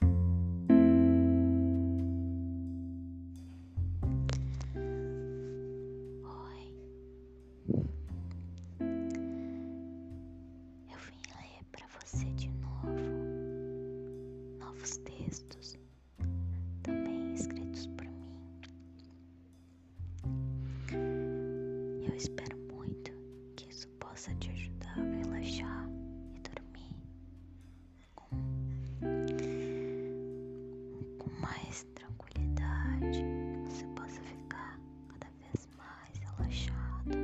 Oi. Eu Eu vim ler para você de novo, novos textos, também escritos mim. espero muito que isso possa te ajudar a relaxar e dormir com, mais tranquilidade, você possa ficar cada vez mais relaxado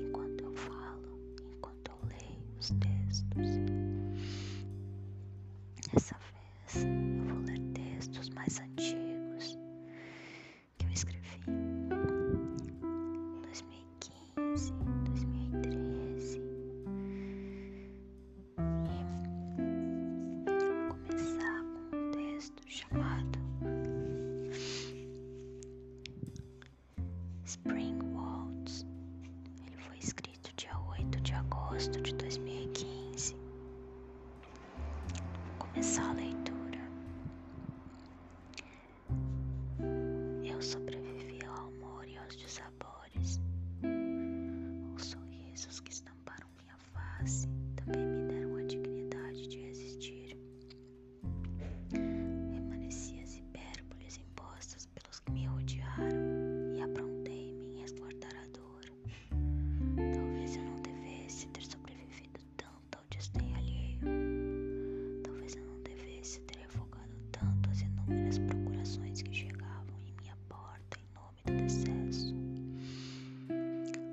enquanto eu falo, enquanto eu leio os textos. Dessa vez eu vou ler textos mais antigos que eu escrevi em 2015. 2011, 2013. E vou começar com um texto chamado Spring Waltz. Ele foi escrito dia 8 de agosto de 2015. Vou começar a leitura. Eu sobrevivi ao amor e aos dissabores. Os sorrisos que estamparam minha face também me deram a dignidade de existir. Remaneci as hipérboles impostas pelos que me rodearam e aprontei-me em resguardar a dor. Talvez eu não devesse ter sobrevivido tanto ao desdém alheio. Talvez eu não devesse ter revogado tanto as inúmeras procurações que chegavam em minha porta em nome do decesso.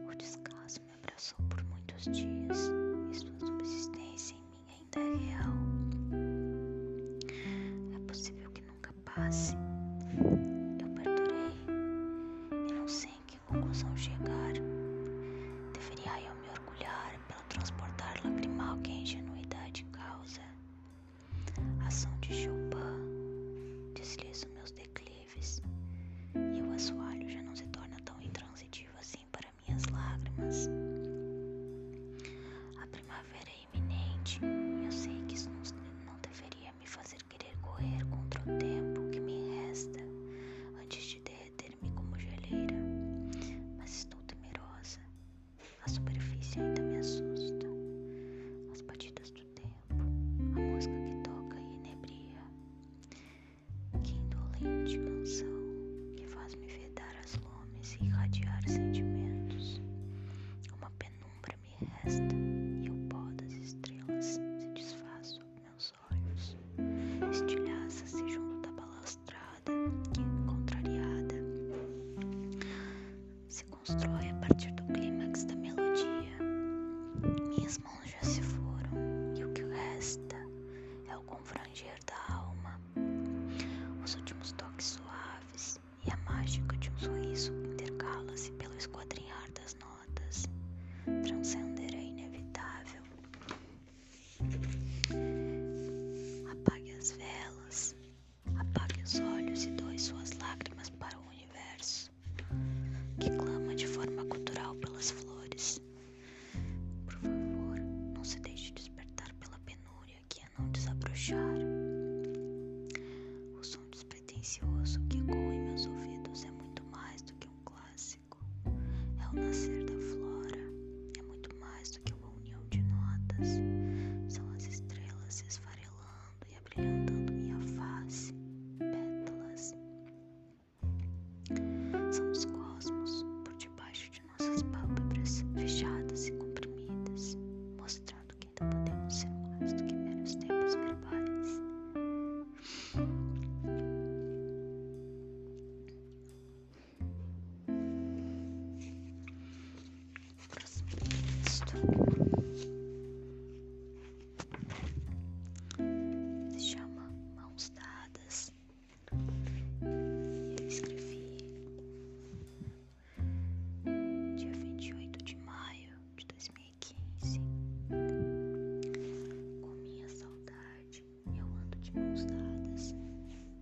O descaso me abraçou por muitos dias e sua subsistência em mim ainda é real. É possível que nunca passe. Eu perdurei e não sei em que conclusão chegar. Deveria eu me orgulhar não transportar lacrimal que a é ingenuidade causa. Ação de Chopin, deslizo meus declives, e o assoalho já não se torna tão intransitivo assim para minhas lágrimas. A primavera é iminente, e eu sei que isso não deveria me fazer querer correr contra o tempo que me resta antes de derreter me como geleira, mas estou temerosa. A superfície ainda me assusta. As batidas do tempo, a música que toca e inebria. Que indolente canção que faz me vedar as lomes e irradiar sentimentos. Uma penumbra me resta. e o pó das Estilhaça-se junto da balança frustrada, contrariada, se constrói a partir do clímax da melodia. Minhas mãos já se foram e o que resta é o confranger da alma, os últimos toques suaves e a mágica de um sorriso intercala-se pelo esquadrinhar das notas. Transcender é inevitável. Apague as velas, apague os olhos e doe suas lágrimas para o universo, que clama de forma cultural pelas flores. Por favor, não se deixe despertar pela penúria que a é não desabrochar. O som despretensioso que ecoa em meus ouvidos é muito mais do que um clássico, é o nascer da flora, é muito mais do que um uma união de notas. São as estrelas esfarelando e abrilhantando minha face, pétalas. São os cosmos por debaixo de nossas pálpebras, fechadas e comprimidas, mostrando que ainda podemos ser mais do que meros tempos verbais chama mãos dadas escrevi dia vinte e e oito de de maio dois mil quinze com minha saudade. Eu é ando de mãos dadas,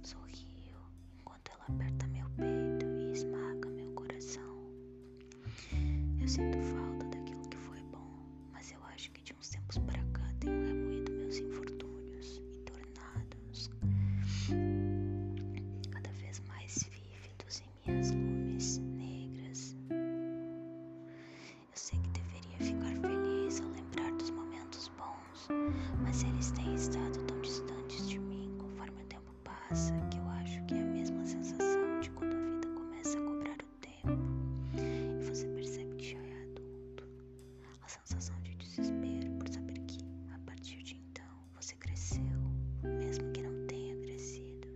sorrio enquanto ela aperta meu peito e esmaga meu coração. Eu sinto falta daquilo que foi bom, mas eu acho que de uns tempos para cá tenho remoído meus infortúnios e tornados cada vez mais vívidos em minhas lumes negras. Eu sei que deveria ficar feliz ao lembrar dos momentos bons, mas eles têm estado tão distantes de mim conforme o tempo passa que eu acho que é a mesma sensação de quando a vida começa a cobrar o tempo e você percebe que já é adulto. A sensação de desespero por saber que, a partir de então, você cresceu, mesmo que não tenha crescido.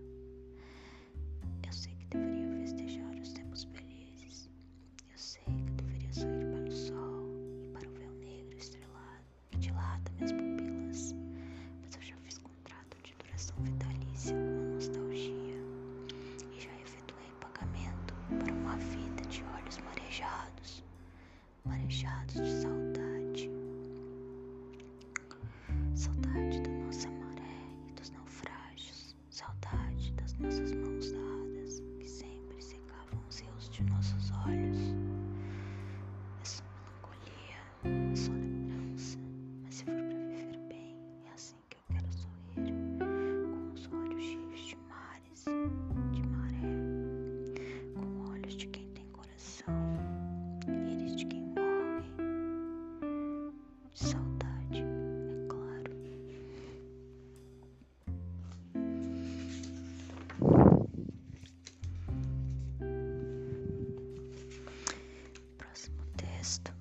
Eu sei que deveria festejar os tempos felizes, eu sei que eu deveria sorrir para o sol e para o véu negro estrelado que dilata minhas pupilas, mas eu já fiz contrato de duração vitalícia com a nostalgia e já efetuei pagamento para uma vida de olhos marejados, marejados de saudade. Saudade da nossa maré e dos naufrágios, saudade das nossas mãos dadas que sempre se arrancavam-se os de nossos olhos. é só melancolia, é só lembrança, mas se for para viver bem, é assim que eu quero sorrir, com os olhos cheios de mares, de maré, com olhos de quem tem coração, eles de quem morre, de saudade, é claro. Próximo texto.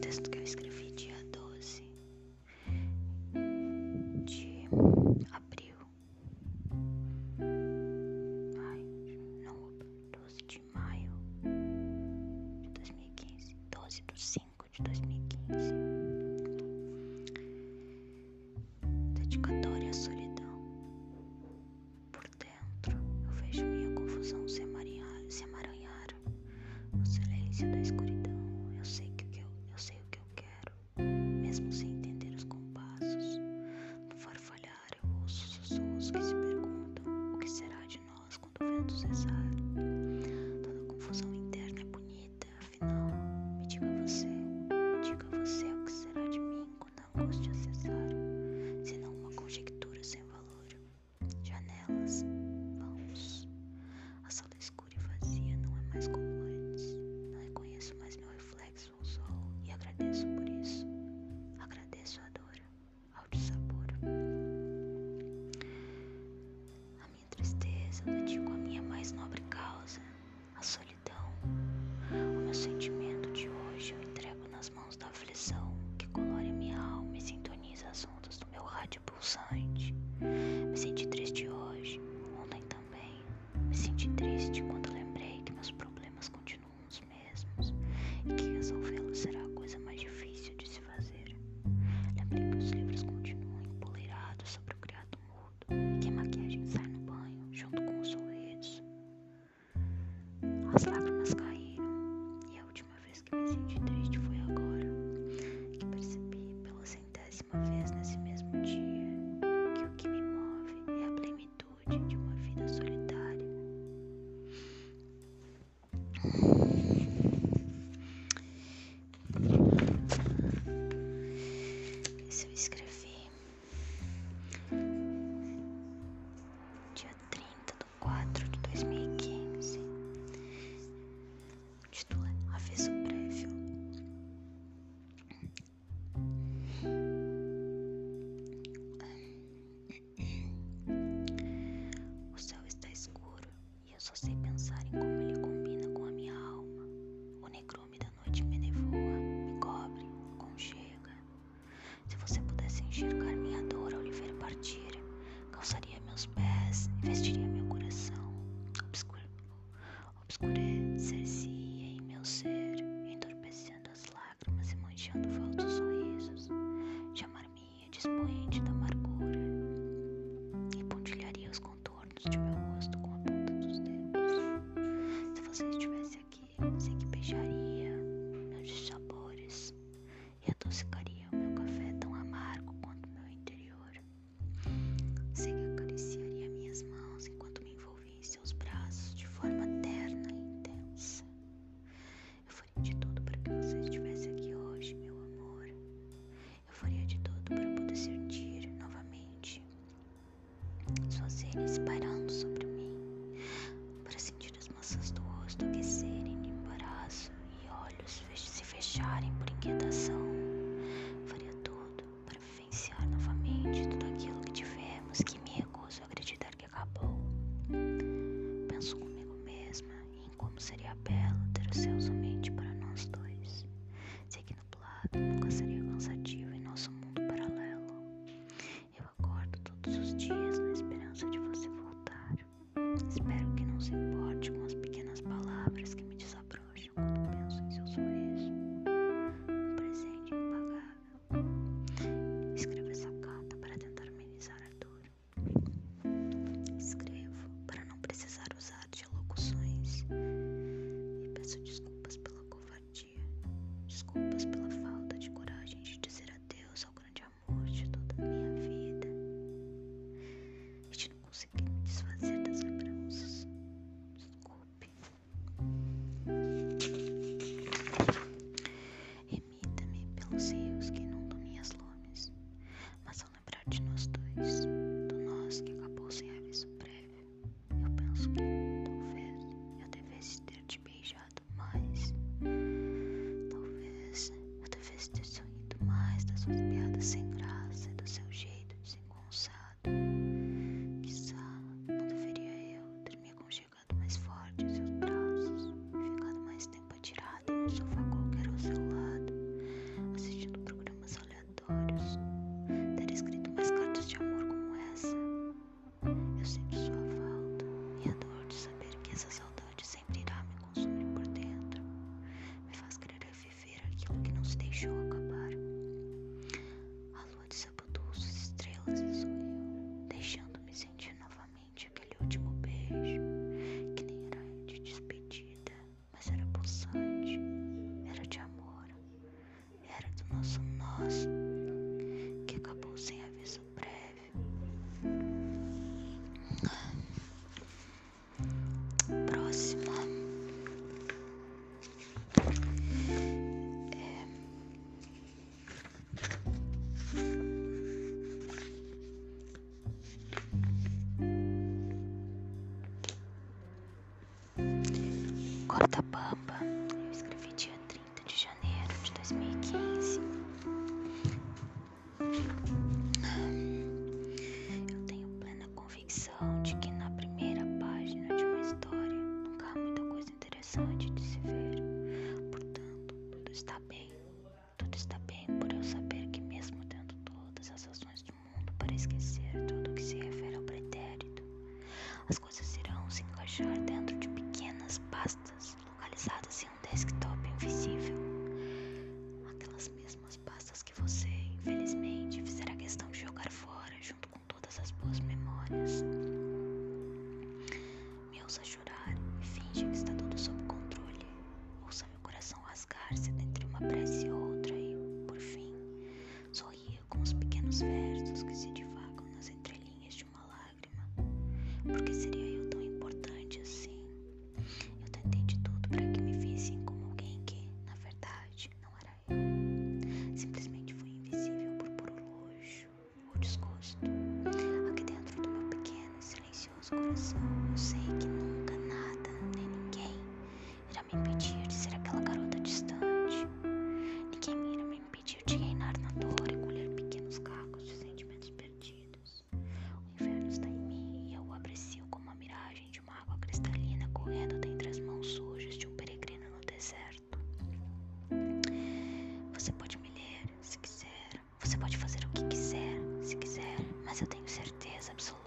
Texto que eu escrevi dia doze de abril. Ai, não, doze de maio de 2015, 12 de 5 de 2015. Dedicatória à solidão. Por dentro, eu vejo minha confusão se, se amaranhar no silêncio da escuridão. Eu sei que, que eu, eu sei o que eu quero, mesmo sem entender os compassos. No farfalhar, eu ouço sussurros que se perguntam o que será de nós quando o vento cessar. Toda confusão interna é bonita, afinal, me diga você, me diga você o que será de mim quando a angústia cessar, senão uma conjectura sem valor. Janelas, mãos, a sala escura e vazia não é mais como antes. Não reconheço mais meu reflexo no sol e agradeço por isso. Agradeço a dor ao dissabor. A minha tristeza dedico à minha mais nobre causa, a solidão. O meu sentimento de hoje eu entrego nas mãos da aflição que colora minha alma e sintoniza as ondas do meu rádio pulsante. Me senti triste hoje, ontem também. Me senti triste quando lembrei que meus problemas continuam os mesmos e que resolvê-los será a coisa mais difícil de se difícil Lembrei que os livros continuam empoleirados sobre o criado mudo e que a maquiagem sai no banho junto com os sorrisos. As lágrimas caíram e a última vez que me senti triste foi agora, que percebi pela centésima vez nesse mesmo dia que o que me move é a plenitude de uma vida solitária. Isso eu escrevi dia quatro de dois mil e quinze. título é Aviso Prévio. O céu está escuro e eu só sei pensar em como ele combina com a minha alma. O negrume da noite me nevoa, me cobre, conchega. Se você pudesse enxergar minha dor ao lhe ver partir, calçaria meus pés e vestiria meu coração. Obscur Obscurecer-se em meu ser, entorpecendo as lágrimas e manchando falsos sorrisos. Chamar-me caminha da amargura e pontilharia os contornos de meu rosto com a ponta dos dedos. Se você estivesse aqui, sei que beijaria meus sabores e adocicaria o meu café tão amargo quanto meu interior. Sei que acariciaria minhas mãos enquanto me envolvia em seus braços de forma terna e intensa. Eu faria de tudo para que você estivesse aqui hoje, meu amor. Eu faria de tudo para poder sentir novamente suas sede pairando sobre mim, para sentir as maçãs do rosto aquecerem de embaraço e olhos se fecharem por inquietação. faria tudo para vivenciar novamente tudo aquilo que tivemos que me recuso a acreditar que acabou. Penso comigo mesma em como seria belo ter o céu somente para nós dois. Se aqui no nublado nunca seria cansativo em nosso mundo paralelo. Eu acordo todos os dias na esperança de você voltar. Espero que não se importe com as pequenas palavras que me desabrocham quando penso em seu sorriso. Um presente impagável. Escreva essa carta para tentar amenizar a dor. Escrevo para não precisar usar de locuções e peço desculpas pela covardia, desculpas pela falta de coragem de dizer adeus ao grande amor de toda a minha vida e de não conseguir me desfazer das lembranças. Desculpe. Permita-me, pelos rios que não inundam as lumes, mas ao lembrar de nós dois, do nós que acabou sem aviso prévio, eu penso que, talvez, eu devesse ter te beijado mais. Talvez eu devesse ter sorrido mais das suas piadas sem graça e do seu jeito desengonçado. Quizá não deveria eu ter me aconchegado mais forte em seus braços e ficado mais tempo atirado em um sofá qualquer ao seu lado, assistindo programas aleatórios, ter escrito mais cartas de amor como essa. Eu sinto sua falta e a dor de saber que essa saudade sempre irá me consumir por dentro. Me faz querer viver aquilo que não se deixou acabar. A lua de desabotou suas estrelas e sorriu, deixando-me sentir novamente aquele último beijo, que nem era de despedida, mas era pulsante, era de amor, era do nosso nosso que acabou sem aviso prévio. Próxima. É... Corta Cortapampa, eu escrevi dia 30 de janeiro de 2015. Eu tenho plena convicção de que na primeira página de uma história nunca há muita coisa interessante de se ver. Portanto, tudo está bem. Tudo está bem por eu saber que, mesmo tendo todas as razões do mundo para esquecer tudo que se refere ao pretérito, as coisas irão se encaixar dentro de pequenas pastas localizadas em um desktop invisível. Aquelas mesmas pastas que você, infelizmente, fizerá questão de jogar fora junto com todas as boas memórias. Me ouça chorar e finge que está tudo sob controle. Ouça meu coração rasgar-se entre uma prece e outra e, por fim, sorria com os pequenos versos que se divagam nas entrelinhas de uma lágrima. Porque seria eu tão importante assim? Eu tentei de tudo para que me vissem como alguém que, na verdade, não era eu. Simplesmente fui invisível por puro luxo ou desgosto. Aqui dentro do meu pequeno e silencioso coração, eu sei que nunca nada, nem ninguém irá me impedir de ser aquela garota distante. Ninguém me impediu de reinar na dor e colher pequenos cacos de sentimentos perdidos. O inferno está em mim e eu o aprecio como a miragem de uma água cristalina correndo dentre as mãos sujas de um peregrino no deserto. Você pode me ler, se quiser, você pode fazer o que quiser, se quiser, mas eu tenho certeza absoluta.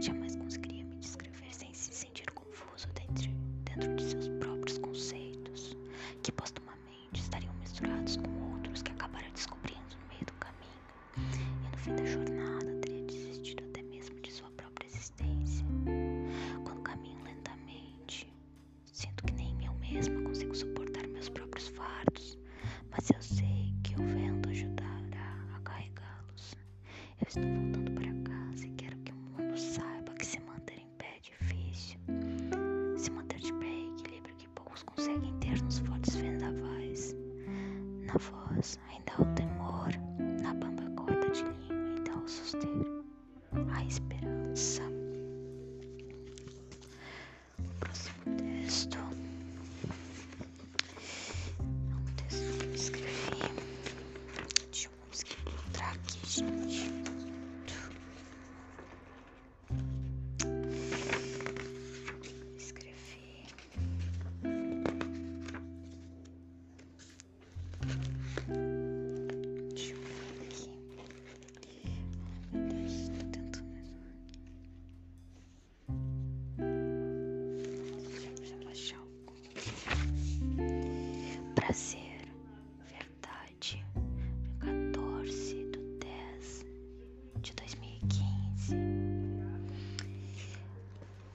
Jamais conseguiria me descrever sem se sentir confuso dentro, dentro de seus próprios conceitos, que postumamente estariam misturados com outros que acabara descobrindo no meio do caminho. E no fim da jornada teria desistido até mesmo de sua própria existência. Quando caminho lentamente, sinto que nem eu mesma consigo suportar meus próprios fardos mas eu sei que o vento ajudará a carregá-los. Eu estou voltando para casa e quero que o mundo saiba que se manter em pé é difícil. Se manter de pé é equilíbrio que poucos conseguem ter nos fortes vendavais. Na voz ainda há o temor, na bamba corda de língua ainda há o susteiro, a esperança. O próximo texto é um texto que eu escrevi. Deixa eu conseguir encontrar aqui, gente. Escrevi. Deixa eu ver aqui. Prazer, verdade, 14 do 10 de 2015.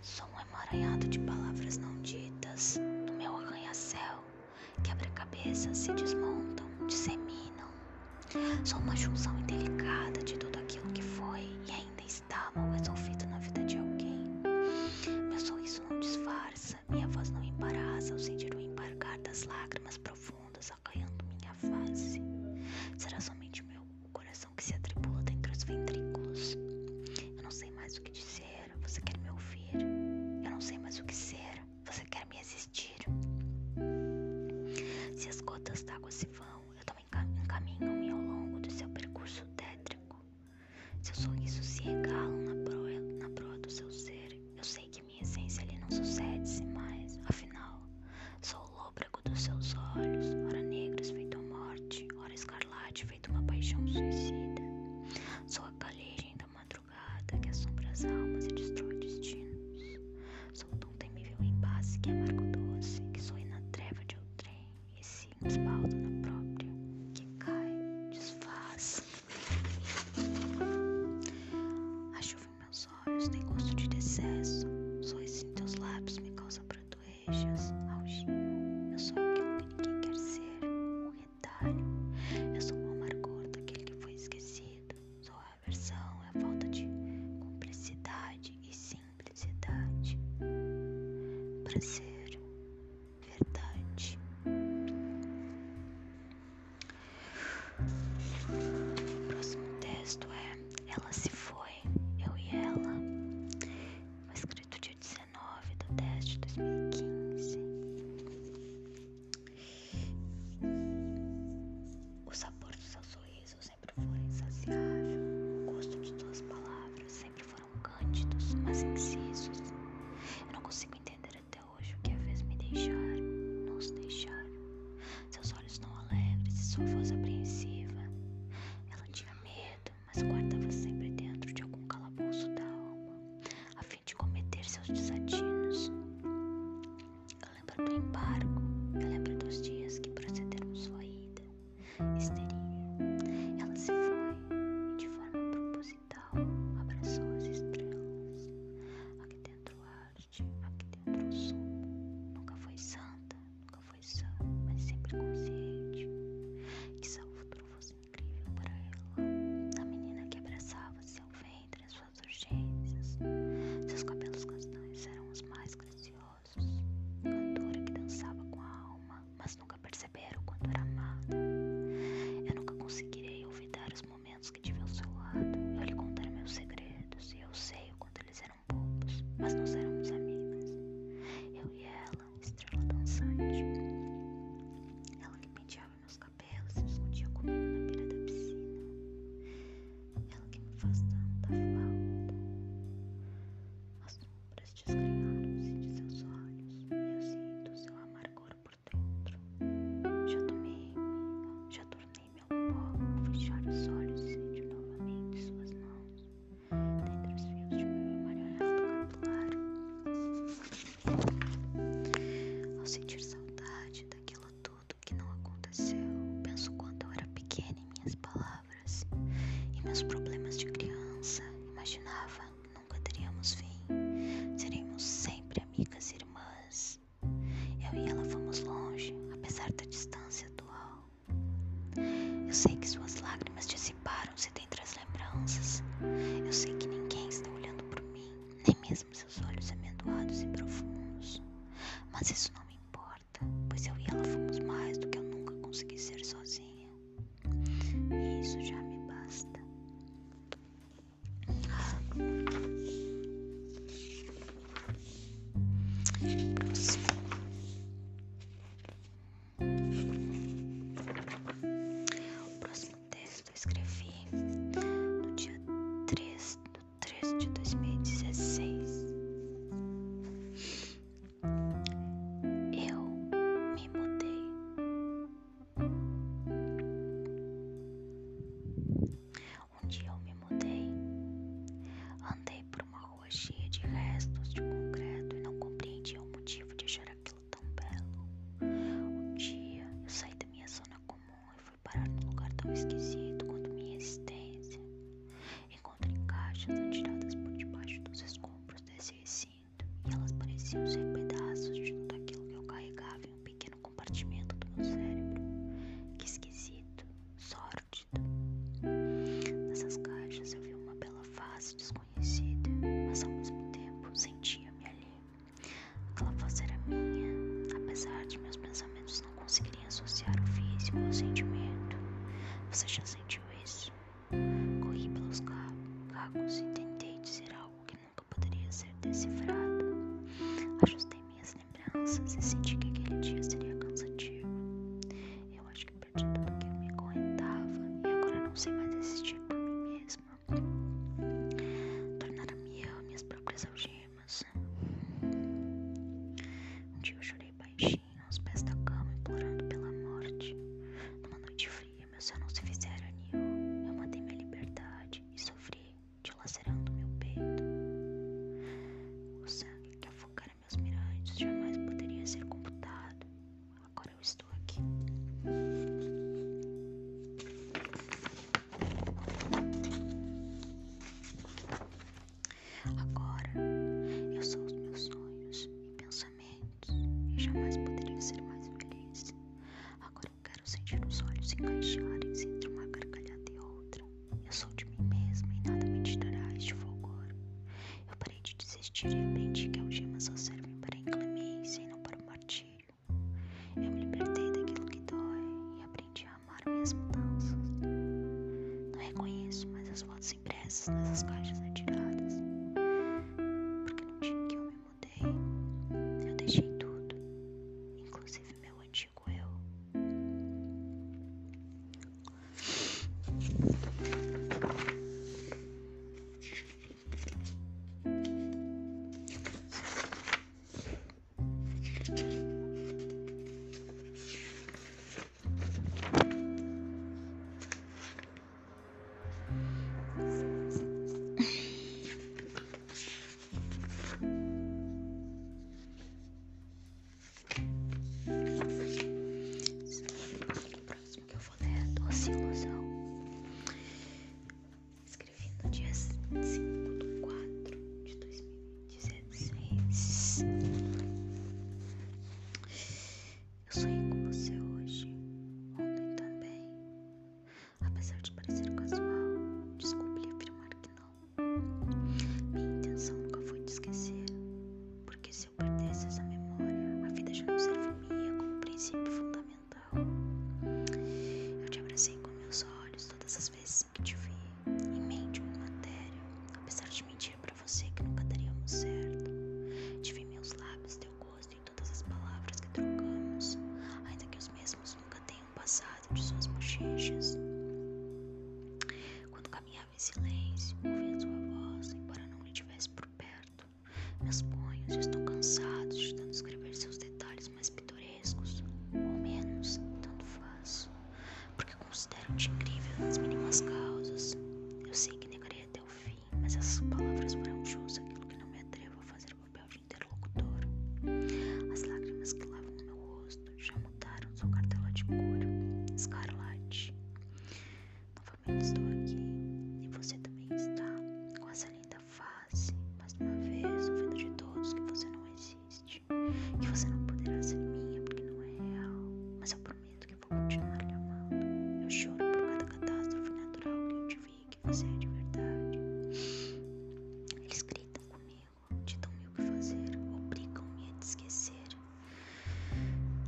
Sou um emaranhado de palavras não ditas no meu arranha-céu. Quebra-cabeças se desmontam, disseminam. Sou uma junção indelicada de tudo aquilo que foi e ainda está mal resolvido na vida de alguém. Meu sorriso não disfarça, minha voz não embaraça ao sentir o embarcar das lágrimas profundas arranhando minha face. Será somente meu coração que se atribula dentre os ventrículos. Eu não sei mais o que dizer, você quer me ouvir? Eu não sei mais o que será. Você quer me assistir? Se as gotas d'água se vão, eu também encaminho-me ao longo do seu percurso tétrico. Seus sonhos se regalam na proa, do seu ser. Eu sei que minha essência ali não sucede-se mais. Afinal, sou o lôbrego dos seus olhos, ora negros feito a morte, ora escarlate feito uma paixão suicida. Sou a caligem da madrugada que assombra as almas e destrói destinos. Sou um tão temível em base que é amargo doce, que sou na treva de outrem e se espalda na própria, que cai, desfaz. A chuva em meus olhos tem gosto de excesso decesso, sois em teus lábios me causa brotoejas, alginho. Eu sou aquilo que ninguém quer ser, um retalho. Eu sou o amargor daquele que foi esquecido, sou a é a falta de cumplicidade e simplicidade. Prazer, verdade. O próximo texto é Ela se foi, eu e ela. Foi escrito dia 19 do teste de 2015. O sabor do seu sorriso sempre foi insaciável. O gosto de suas palavras sempre foram cândidos, mas incisos. Eu não consigo entender até hoje o que a é fez me deixar, nos deixar. Seus olhos não alegres e sua voz apreensiva. Ela tinha medo, mas guardava sempre dentro de algum calabouço da alma, a fim de cometer seus desatinos. Eu lembro do embargo, eu lembro é dos dias que precederam sua ida, histeria. Ela se foi e de forma proposital abraçou as estrelas. Aqui dentro arte, aqui dentro sombra. Nunca foi santa, nunca foi sã, mas sempre consciente. Que seu futuro fosse incrível para ela. A menina que abraçava seu ventre, sua suas urgências. Seus cabelos castanhos eram os mais graciosos. Cantora que dançava com a alma, mas nunca perceberam o quanto era amada. Eu nunca conseguirei olvidar os momentos que tive ao seu lado. Eu lhe contar meus segredos e eu sei o quanto eles eram bobos, mas nós éramos amigas. Eu e ela, estrela dançante. Ela lhe penteava meus cabelos papel, se discutia comigo na beira da piscina. Ela que me faz tanta falta. As sombras desgrenharam-se de seus olhos e eu sinto seu amargor por dentro. Já tomei-me, já tornei-me ao pó, fechar os olhos e sentir novamente suas mãos dentre os fios de meu emaranhado capilar. Ao sentir saudade daquilo tudo que não aconteceu, penso quanto eu era pequena em minhas palavras e meus problemas de criança. Imaginava que nunca teríamos fim, Seremos sempre amigas e irmãs. Eu e ela fomos longe, apesar da distância atual. Eu sei que suas lágrimas dissiparam-se dentre as lembranças. Eu sei que ninguém está olhando por mim, nem mesmo seus olhos amendoados e profundos. Mas isso não me importa, pois eu e ela fomos mais do que eu nunca consegui ser sozinha. E isso já me basta. O próximo texto eu escrevi no dia 3 do 13 de 2016. Eu me mudei. Um dia eu me mudei. Andei por uma rua cheia de restos de concreto e não compreendi o motivo de achar aquilo tão belo. Um dia eu saí da minha zona comum e fui parar num lugar tão esquisito quanto minha existência. Encontrei caixas atiradas por debaixo dos escombros desse recinto e elas pareciam ser pedaços de tudo aquilo que eu carregava em um pequeno compartimento do meu cérebro. Que esquisito, sórdido. Nessas caixas eu vi uma bela face desconhecida, mas ao mesmo tempo sentia-me ali. Aquela voz era minha, apesar de meus pensamentos não conseguirem associar o físico ao sentimento. Você já sentiu isso? Corri pelos cacos e tentei dizer algo que nunca poderia ser decifrado. Ajustei minhas lembranças e senti que aquele dia seria cansativo. Eu acho que perdi tudo o que me correntava e agora não sei mais existir por mim mesma. Tornaram-me eu minhas próprias algemas lágrimas. Um dia eu chorei baixinho aos pés da cama, implorando pela morte. Numa noite fria, meu céu não se fizera anil. Eu matei minha liberdade e sofri, te dilacerando meu peito. O sangue que afocara meus mirantes jamais poderia ser computado. Agora eu estou aqui. Agora eu sou os meus sonhos e pensamentos e jamais poderia ser mais feliz. Agora eu quero sentir os olhos encaixarem-se entre uma gargalhada e outra. Eu sou de mim mesma e nada me tirará este fulgor. Eu parei de desistir e aprendi que algemas só servem para inclemência e não para o martírio. Eu me libertei daquilo que dói e aprendi a amar minhas mudanças. Não reconheço mais as fotos impressas nessas caixas retiradas. Porque no dia que eu me mudei, eu deixei tudo, inclusive meu antigo eu próximo que eu vou ler é Doce Ilusão. Escrevi no dia 5 de 4 de 2016. Eu sonhei com você hoje, ontem também. Apesar de parecer casual, descobri afirmar que não. Minha intenção nunca foi te esquecer, porque se eu perdesse essa memória, a vida já não serviria como princípio fundamental. Eu te abracei com meus olhos todas as vezes que te vi em mente em matéria, apesar de mentir para você que nunca daríamos certo. Te vi meus lábios, teu gosto e todas as palavras que trocamos, ainda que os mesmos nunca tenham passado de suas bochechas. Quando caminhava em silêncio, ouvia sua voz, embora não lhe tivesse por perto, meus punhos estão cansados de tanto escrever seus detalhes mais pitorescos, ou menos, tanto faz, porque considero-te incrível nas mínimas causas. Eu sei que negarei até o fim, mas essas palavras foram jus Aquilo que não me atrevo a fazer o papel de interlocutor. As lágrimas que lavam o meu rosto já mudaram sua cartela de couro, escarlate. Novamente estou aqui, e você também está, com essa linda face, mais uma vez, ouvindo de todos que você não existe. Que você não poderá ser minha porque não é real. Mas eu prometo que vou continuar lhe amando. Eu choro por cada catástrofe natural que eu te vi que você é de verdade. Eles gritam comigo, ditam-me o que fazer, obrigam-me a te esquecer.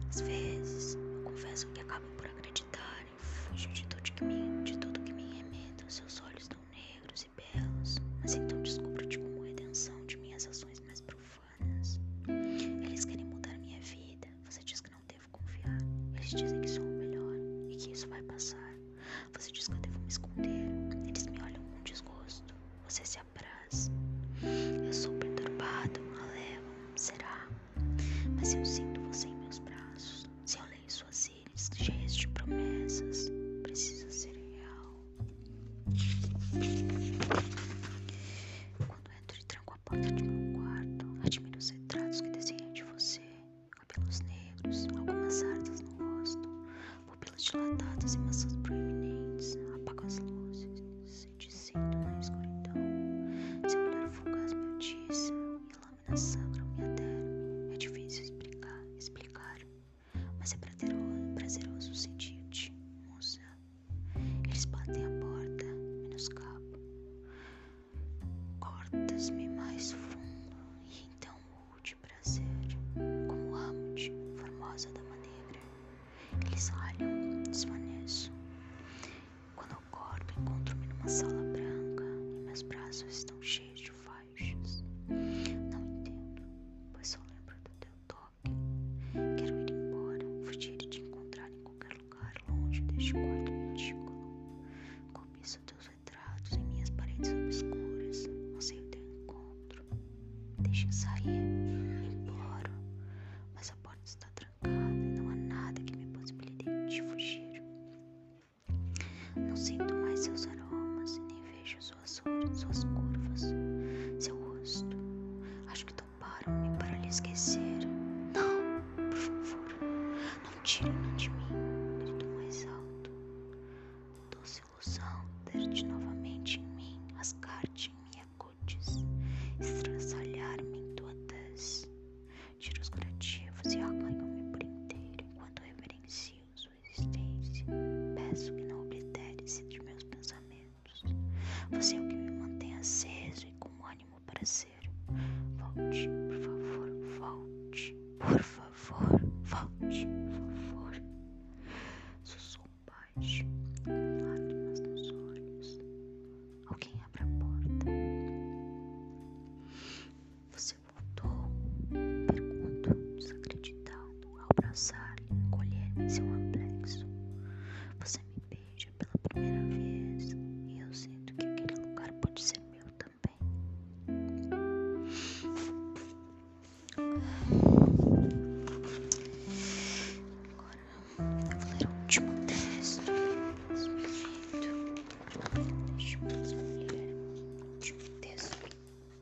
Às vezes, eu confesso que acabo por acreditar e fujo de tudo que me, de tudo que me remeto. Seus olhos tão negros belos, mas então descubro-te como redenção de minhas ações mais profanas. Eles querem mudar minha vida, você diz que não devo confiar. Eles dizem que sou o melhor e que isso vai passar. Você diz que eu devo me esconder, eles me olham com desgosto, você se apraz. Eu sou perturbado, malevo, será? Mas eu sinto você em meus braços, se eu leio suas íris cheias de promessas. Precisa ser real. Quando entro e tranco a porta de meu quarto, admiro os retratos que desenhei de você. Cabelos negros, algumas sardas no rosto, pupilas dilatadas e maçãs proeminentes. Apago as luzes, se dizendo na escuridão. Seu olhar fugaz me atiça e a lâmina sangra minha derme. É difícil explicar, explicar mas é prazeroso sentir-te, moça. Eles batem a porta, menos cabo. Cortas-me mais fundo, e então mude prazer, como amo-te, formosa dama negra. Eles ralham, desvaneço. Quando acordo, encontro-me numa sala branca, e meus braços estão cheios de farinha. Não entendo, pois só lembro do teu toque. Quero ir embora, fugir e te encontrar em qualquer lugar longe deste quarto ridículo. começo teus retratos em minhas paredes obscuras. Anseio teu encontro. Deixa sair, imploro, mas a porta está trancada e não há nada que me possibilite fugir. Não sinto mais seus aromas e nem vejo os suas olhos, suas curvas, seu rosto. Acho que toparam-me para lhe esquecer. Não, por favor, não tire me de mim. Grito mais alto. Doce ilusão ter-te novamente em mim, rasgar-te em minha cutis, estrançalhar-me em tua tez. Tiro os curativos e arranho-me por inteiro enquanto reverencio existência. Peço que não oblitere-se de meus pensamentos. Você é o que me mantém aceso e com ânimo para ser. Volte, por favor, volte. Por favor, volte, por favor. Sussurro baixo, com lágrimas nos olhos. Alguém abre a porta. Você você voltou? Pergunto, desacreditado, ao abraçar-lhe, encolher-me em seu amplexo. Você me beija pela primeira vez e eu sinto que aquele lugar pode ser meu também. Agora vou ler o último texto. Deixa eu o Último texto.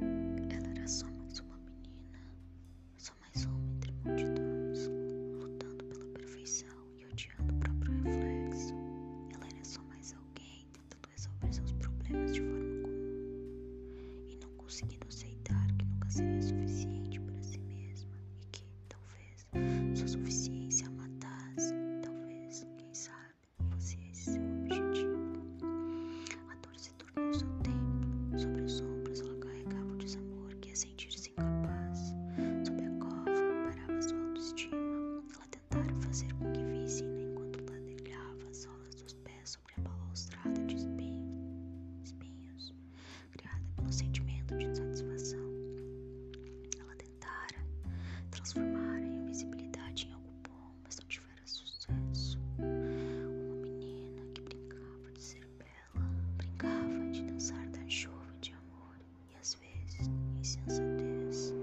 Ela era só mais uma menina, só mais uma entre multidões, lutando pela perfeição e odiando o próprio reflexo. Ela era só mais alguém tentando resolver seus problemas de forma comum e não conseguindo aceitar que nunca seria suficiente para si mesma e que, talvez, sua suficiência a matasse, talvez, quem sabe fosse é esse seu objetivo. A dor se tornou seu tempo. sobre os ombros ela carregava o desamor que a é sentir-se incapaz, sob a cova parava sua autoestima, ela tentara fazer com que vissem né, enquanto ladrilhava as solas dos pés sobre a balaustrada de espinho, espinhos, criada pelo sentimento de insatisfação. Ela tentara transformar a invisibilidade em algo bom, mas não tinha era sucesso. Uma menina que brincava de ser bela, brincava de dançar da chuva de amor e às vezes em insensatez.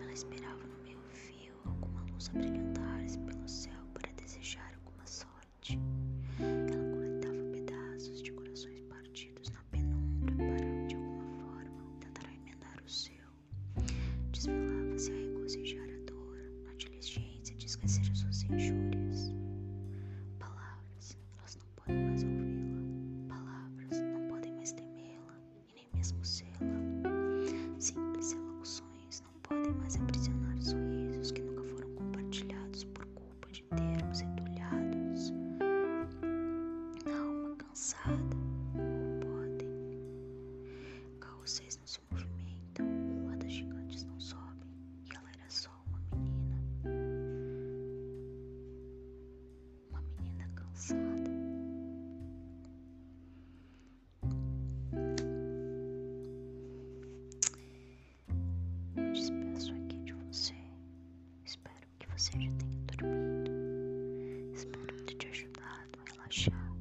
Ela esperava no meio fio alguma luz a brilhantar-se assim pelo céu para desejar alguma sorte. Ela coletava pedaços de corações partidos na penumbra para, de alguma forma, tentar emendar o seu. Desvelava-se a regozijar a dor, a diligência de esquecer as suas injúrias. Palavras, elas não podem mais ouvi-la. Palavras, não podem mais temê-la e nem mesmo sê-la. Simples elocuções não podem mais aprisionar sorrisos que nunca foram compartilhados por culpa de termos entulhados. Na alma cansada, não podem. Carroceria não se movimentam, moedas gigantes não sobem, e ela era só uma menina. Uma menina cansada. Me despeço aqui de você. Espero que você já tenha dormido. Espero ter te ajudado relaxar,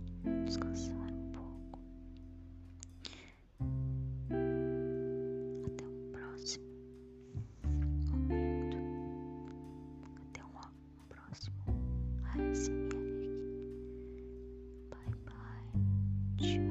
descansar um pouco. Até o próximo momento, até um, um próximo ASMR. Bye, bye. Tchau.